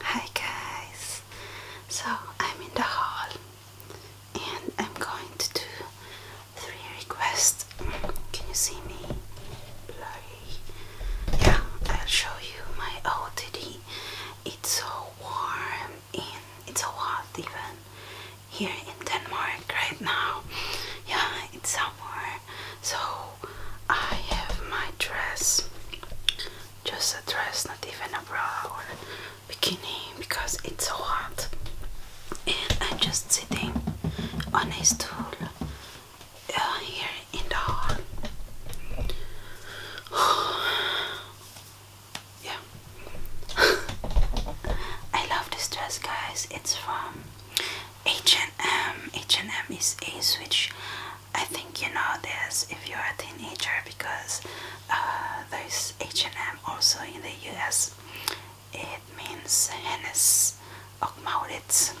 Hi guys, so I'm in the hall and I'm going to do three requests. Can you see me? Yeah, I'll show you my OTD. It's so warm and it's so hot even here in Denmark right now. Yeah, it's summer. So I have my dress. Just a dress, not even a bra or bikini because it's so hot. And I'm just sitting on a stool uh, here in the hall. yeah, I love this dress guys it's from H&M H&M is a switch I think you know this if you're a teenager because uh, there's H&M also in the US it means Hennes och Maurits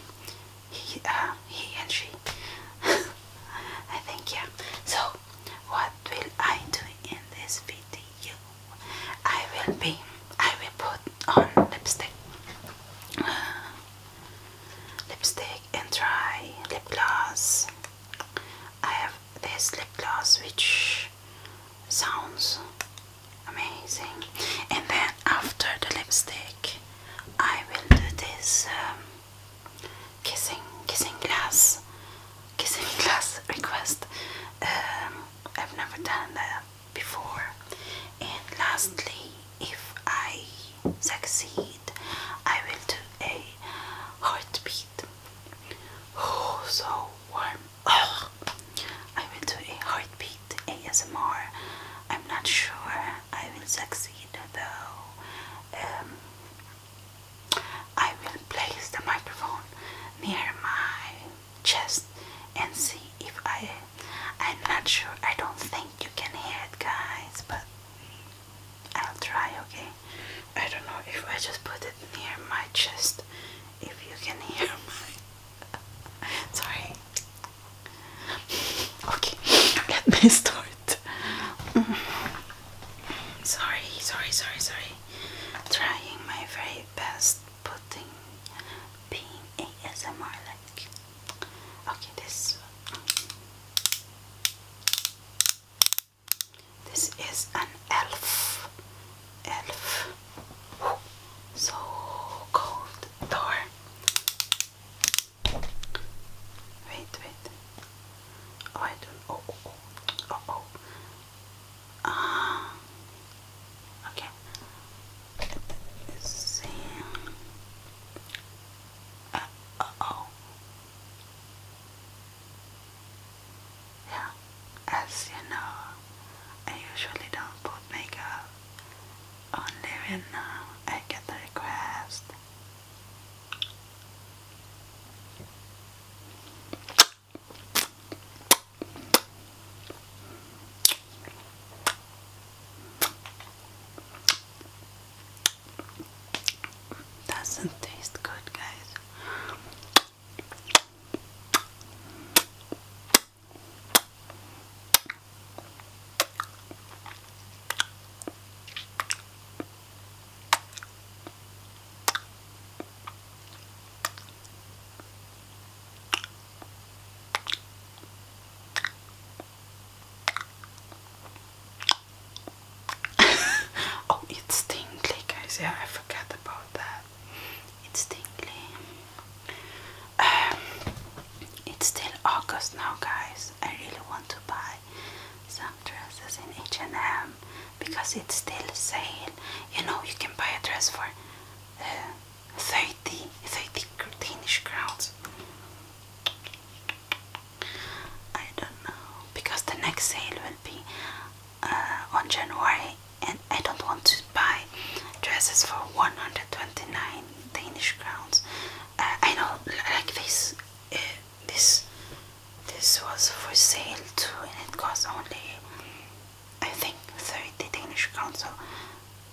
he, uh, he and she I think yeah so what will I do in this video I will be I will put on lipstick lipstick and try lip gloss I have this lip gloss which sounds amazing and then after the lipstick I will do this um, kissing kissing glass kissing glass request um, I've never done that before. And lastly, if I succeed, I will do a heartbeat. Oh, so warm. I will do a heartbeat ASMR. I'm not sure I will succeed though. Um, I will place the microphone near my chest and see if I. I'm not sure. I don't think you can hear it, guys, but I'll try. Okay. I don't know if I just put it near my chest. If you can hear my. Sorry. Okay. Let me start. Mm. Sorry, sorry, sorry, sorry. Trying my best best putting being ASMR like okay this this is an elf elf so cold door wait wait oh I do oh oh, oh. oh, oh. Uh, okay. see. Uh, oh. Yeah. As you know, I usually don't put makeup on living I get the request. Doesn't taste good, guys. oh, it's tingly, guys. Yeah, I forgot about that. It's tingly. Um, it's still August now, guys. I really want to buy some dresses in H&M because it's still sale. You know, you can buy a dress for uh, 30, Danish crowns. I don't know because the next sale will be uh, on January, and I don't want to buy dresses for 129 Danish crowns. Uh, I know, like this uh, this this was for sale too and it cost only I think 30 Danish crowns so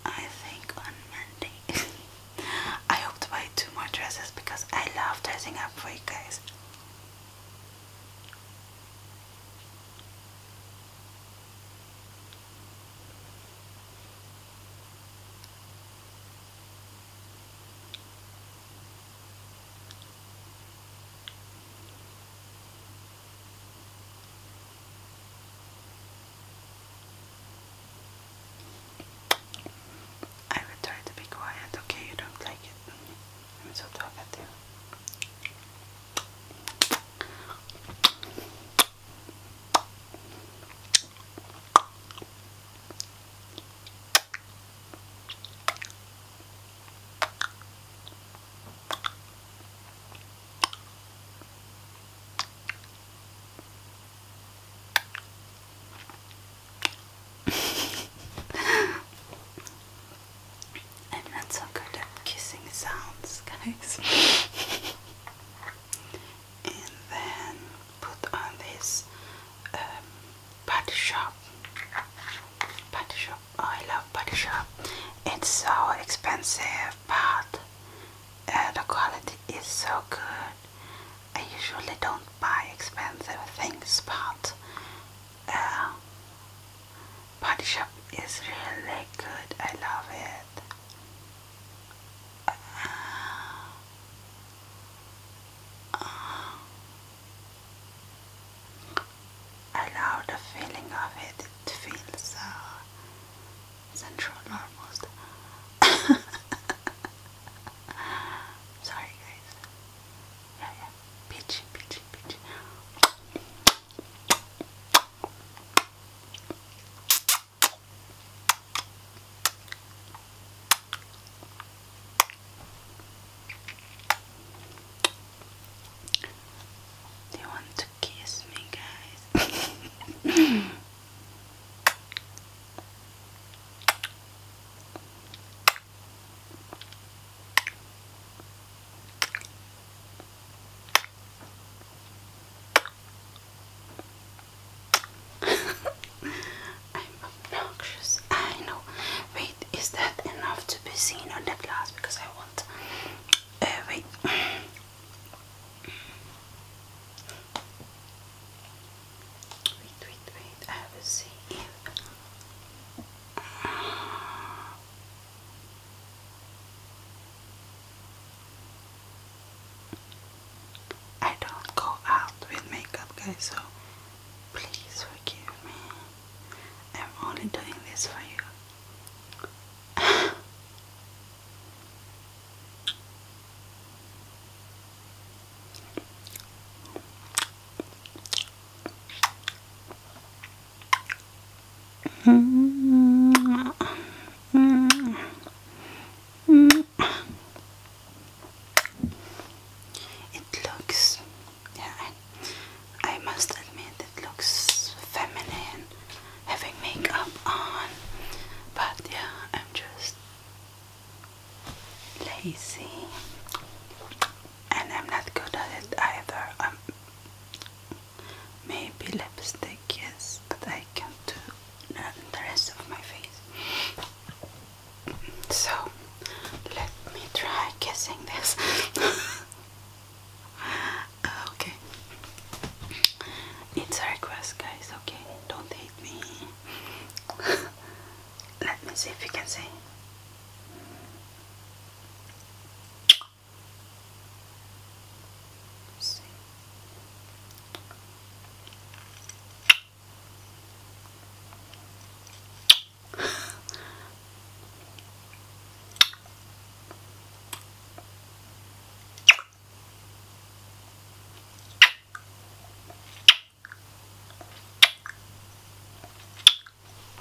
I think on Monday I hope to buy two more dresses because I love dressing up for you guys I will try to be quiet, okay? You don't like it. I'm so talkative. I'm not so good at kissing sounds, guys. and then put on this um, butter shop butter shop oh, I love butter shop it's so expensive but uh, the quality is so good I usually don't buy expensive things but uh, Body Shop is really good. I love it. Uh, uh, Allow the feeling of it. It feels so central almost. Sorry, guys. Yeah, yeah. Peachy, peachy, peachy. They want to kiss me, guys. I'm obnoxious. I know. Wait, is that enough to be seen on the glass? Because I want. Uh, wait. Wait, wait, wait. I will see I don't go out with makeup, guys, so Please forgive me. I'm only doing this for you. Mm -hmm. -hmm. It looks, yeah, I, must admit, it looks feminine having makeup on, but yeah, I'm just lazy and I'm not good at it either. Um, maybe lipstick, is, but I can't do the rest of my face. So let me try kissing this. okay. It's a request, guys. Okay, don't hate me. let me see if you can see. See.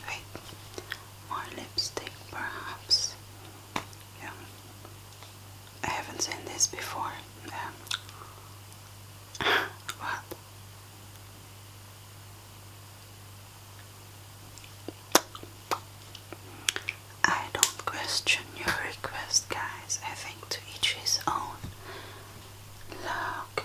Wait, more lipstick perhaps. Yeah. I haven't seen this before. Yeah. I don't question your request, guys. I think to each his own. Look.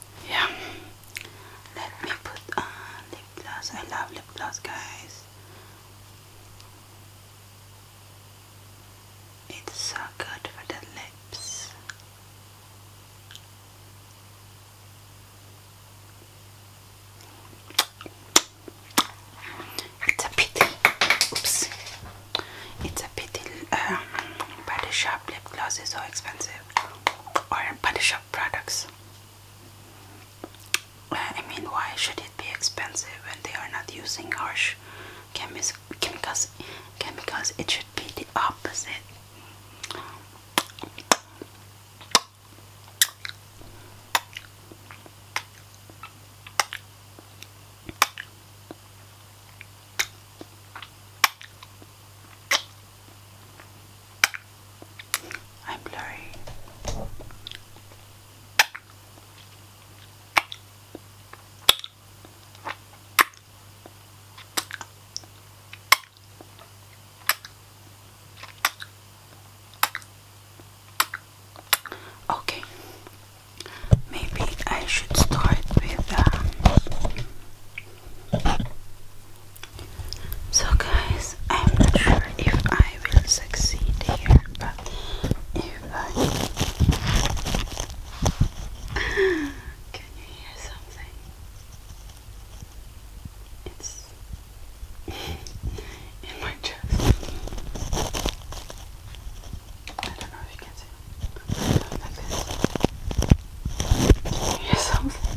yeah let me put on lip gloss I love lip gloss guys it's so good for the lips it's a pity oops it's a pity um, but the sharp lip gloss is so expensive or body shop products. I mean, why should it be expensive when they are not using harsh chemicals? Chemicals, it should be the opposite. I'm blurry. Okay, maybe I should start with um, so, guys, I'm not sure if I will succeed here, but if I can you hear something? It's in my chest. I don't know if you can can you hear something?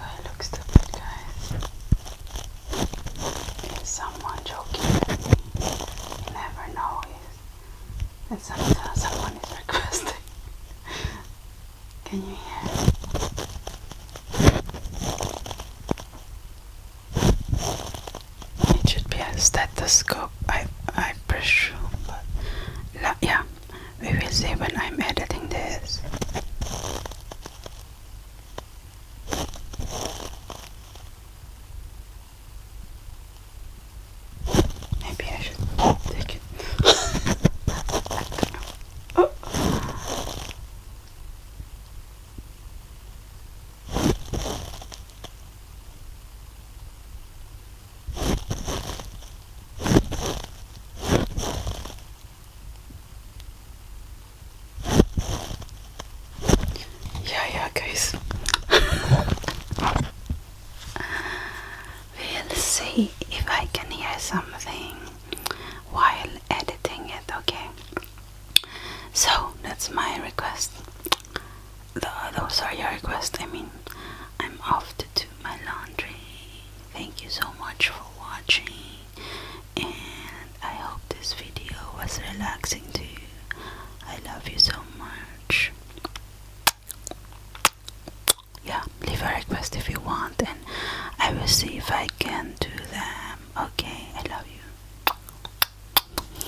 I look stupid, guys? Is someone joking me? never know. And someone is requesting. Can you hear? It should be a stethoscope, I I presume, but yeah, we will see when I'm editing this. Maybe I should take it. Oh. Yeah, yeah, guys. we'll see if I can hear something while editing it, okay? So that's my request those are your requests. I mean, I'm off to do my laundry. Thank you so much for watching, and I hope this video was relaxing to you. I love you so much. Yeah, leave a request if you want, and I will see if I can do them. Okay, I love you.